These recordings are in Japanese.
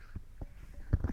ですよ。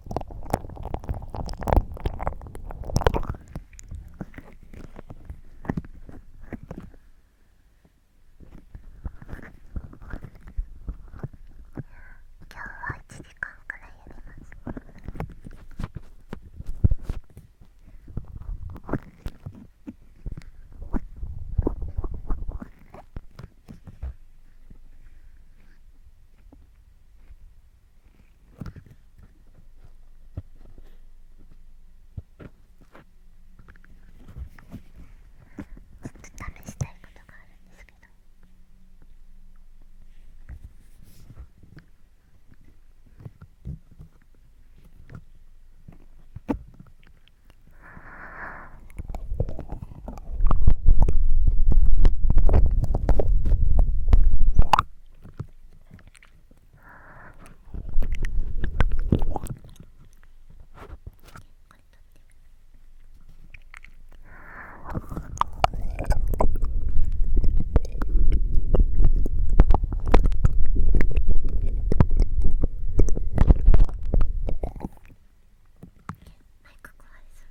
今日は1時間くらいやります。ちょっと試したいことがあるんですけど。マイク壊れそう。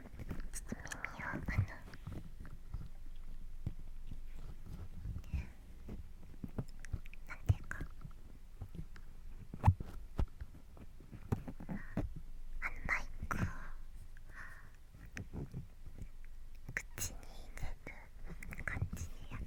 ちょっと耳をあのなんてかあのマイク口に入れる感じでやって。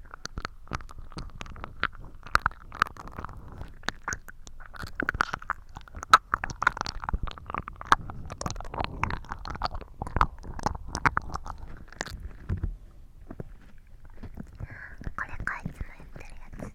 これかいつも言ってるやつ。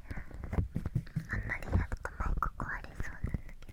あんまりやるともマこクありそうなんだけど。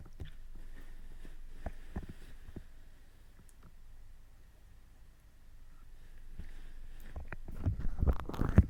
ってるのかこれ。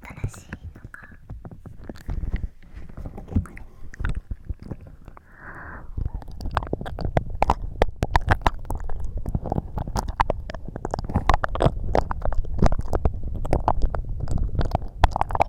新しいのか？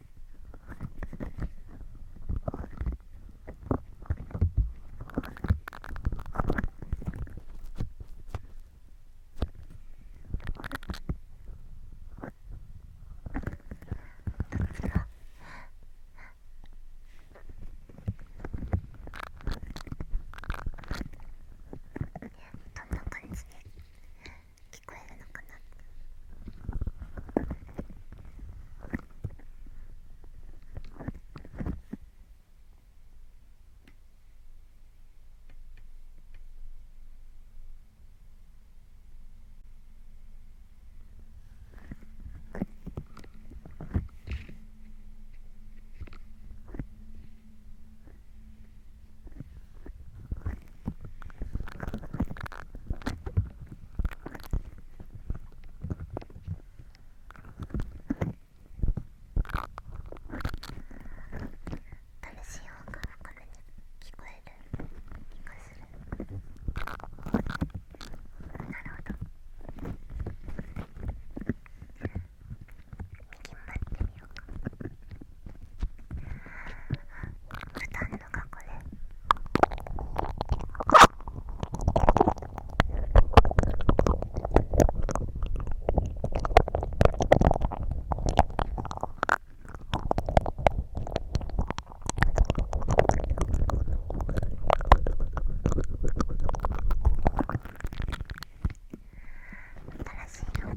どんな感じで聞こえるのかなしい音が深めに聞こえる気がするなるほど右回ってみようか。ふたね新しいのが。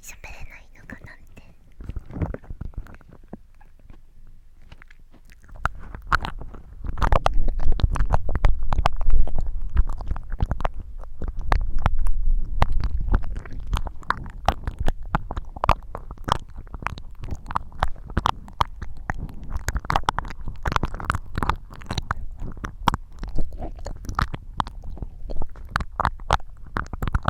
喋れないのかなんて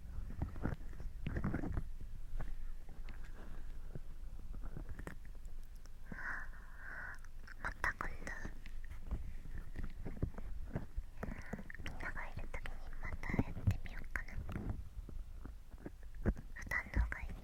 あまた今度みんながいるときにまたやってみようかな普段のがいい「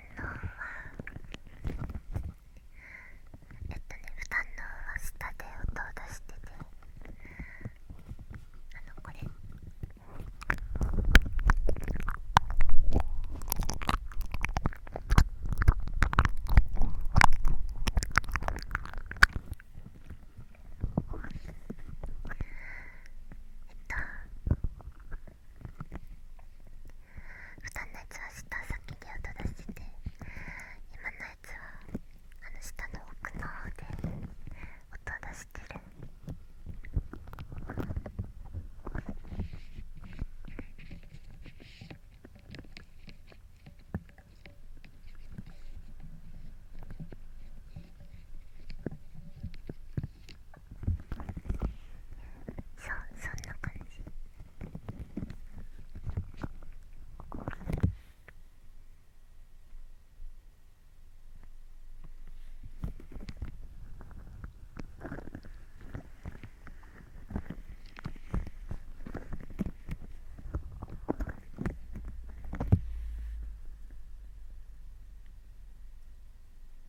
えっとね不の応は下で音を出しててあのこれえっと普段のやつは下先で音出してて今のやつはあの下の奥の方で音出してるそそんな感じ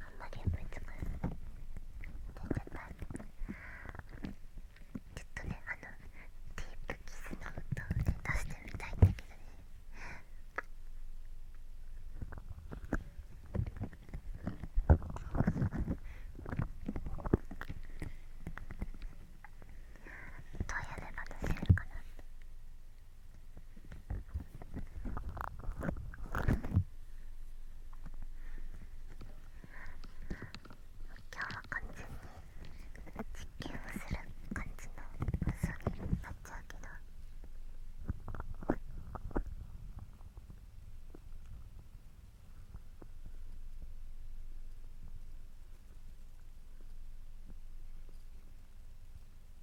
あんまり思いつかない出ちゃったちょっとねあのディープキスの音を、出してみたいんだけどねどうやれば出せるかな今日は完全に実験をする感じの放送になっちゃうけど今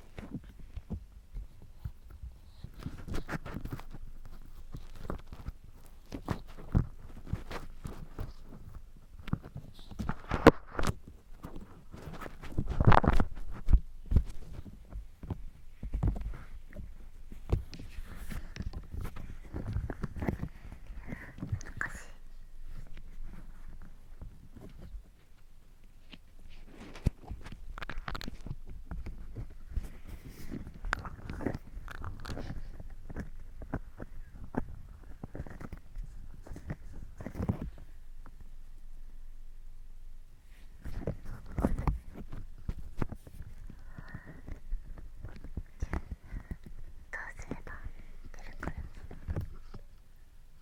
難しい。どうすれば出るかな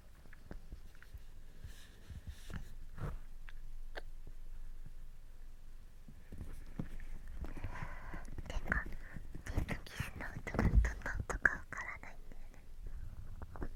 てかディープキスの音がどんな音かわからないんだよね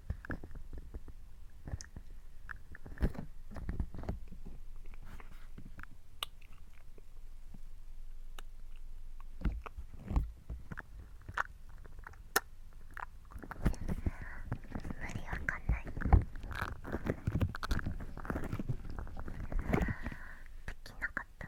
無できなかった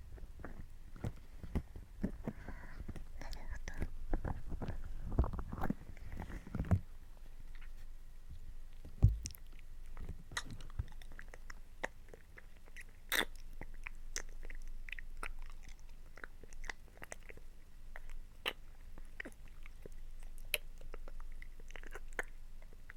何やったん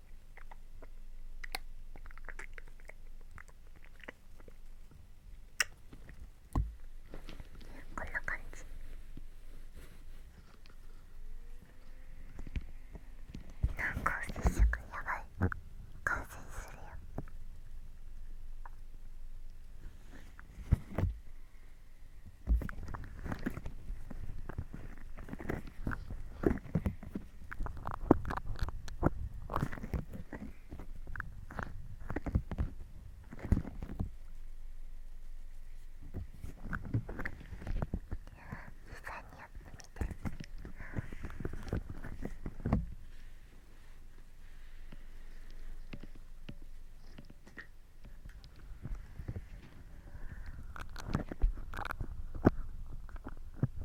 こんな感じなん接触やばい感染するよファニアみたい。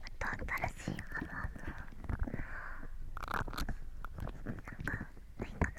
また新しいハムハムなんかないかなあ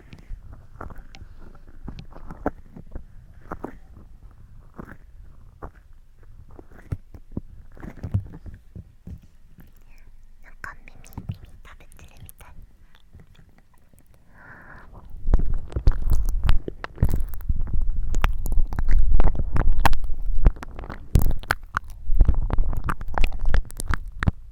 なんか耳耳食べてるみたい。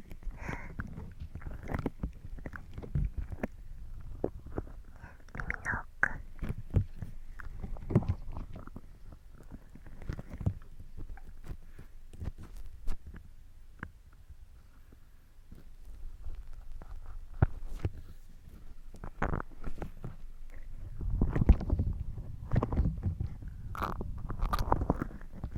耳の奥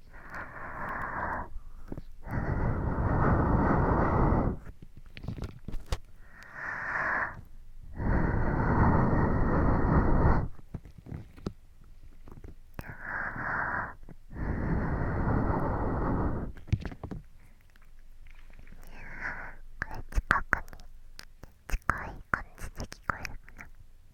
これ近くに近い感じで聞こえるかな。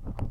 もっとも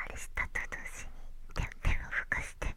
あれしたと同時に手をふかして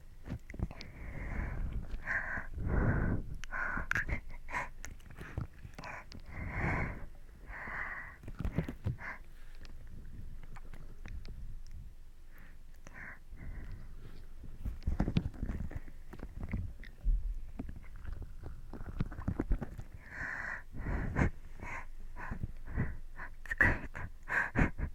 疲れた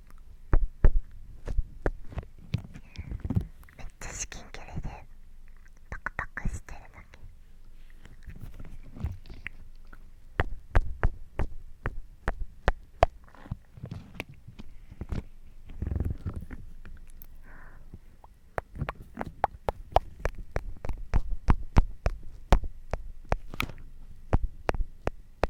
めっちゃ至近距離でパクパクしてるだけあ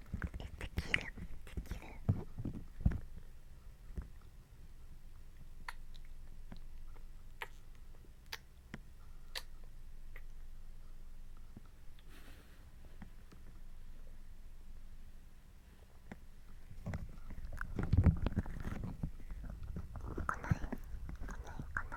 できるできるかない来ないかな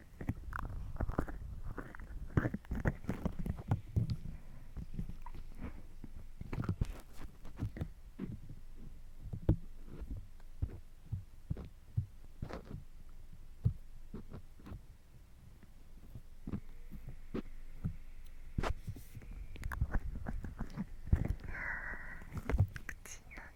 口の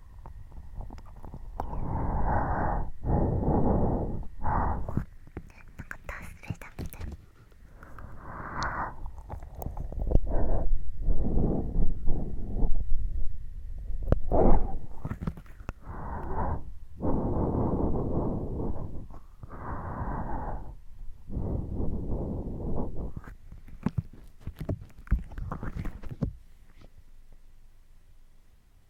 か達成だみたいな。こ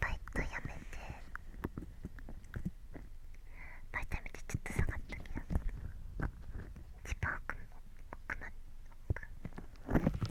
バイトやめてバイトやめてちょっと下がったけど一番奥も奥まで奥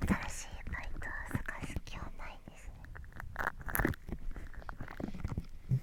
新しいバイトを探す気はないですね。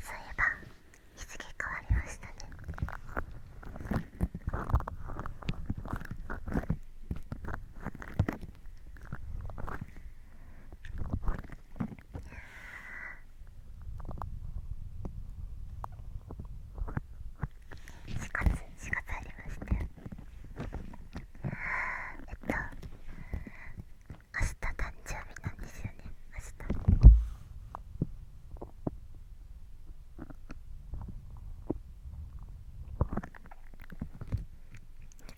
そういえば日付変わりましたね4月4月ありましたよえっと明日誕生日なんですよね明日2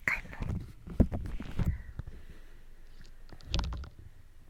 回も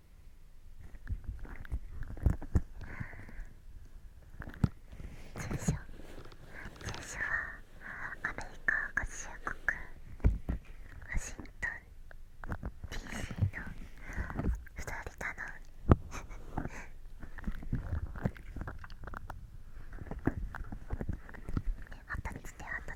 住所。住所はアメリカ合衆国ワシントン DC のフロリのあたちであたち。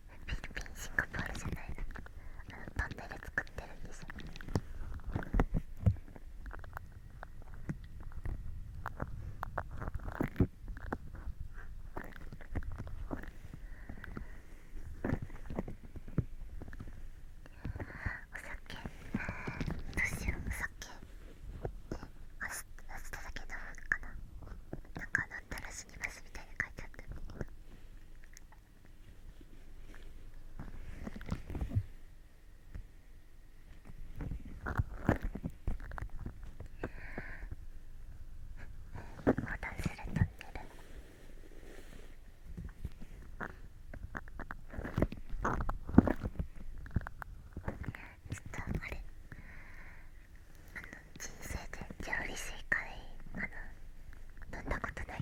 フィピンシンガポールじゃないなトンネル作ってるんですよお酒どうしようお酒明日明日だけ飲むかななんか飲んだら死にますみたいに書いてあって。すると寝る。ちょっとあれあの人生で調理師以外あの飲んだことない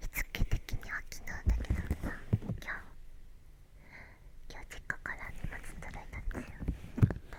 しつけ的には昨日だけどさ今日今日実家から荷物届いたんですよ。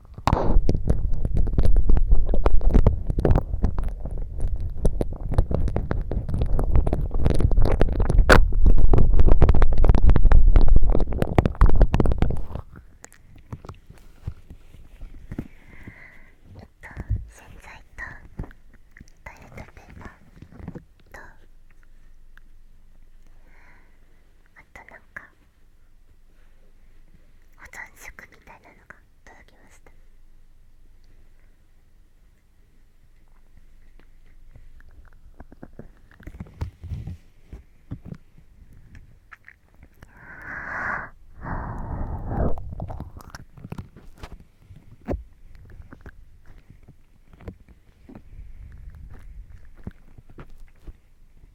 と洗剤とトイレットペーパーとあとなんか保存食みたいなのが届きました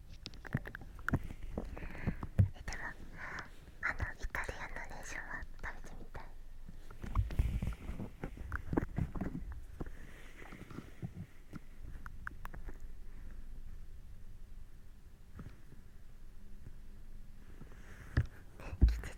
でもあのイタリアンのレーションは食べてみたいね気絶する。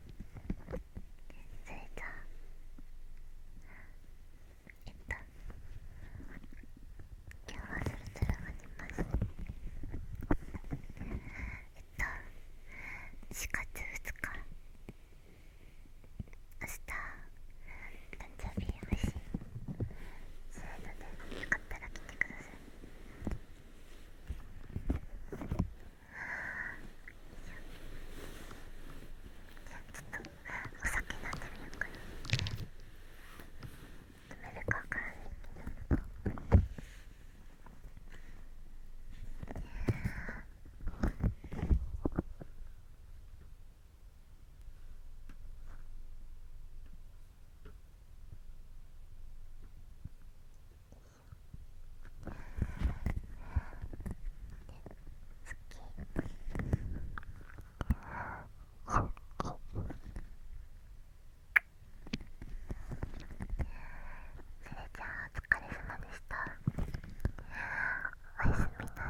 それじゃあえっと今日はそろそろ終わりまえっと4月2日明日誕生日配し。するのでよかったら来てください。じゃあちょっとお酒飲んでみようかな飲めるか分からないけどれじゃあお疲れ様でしたおやすみなさい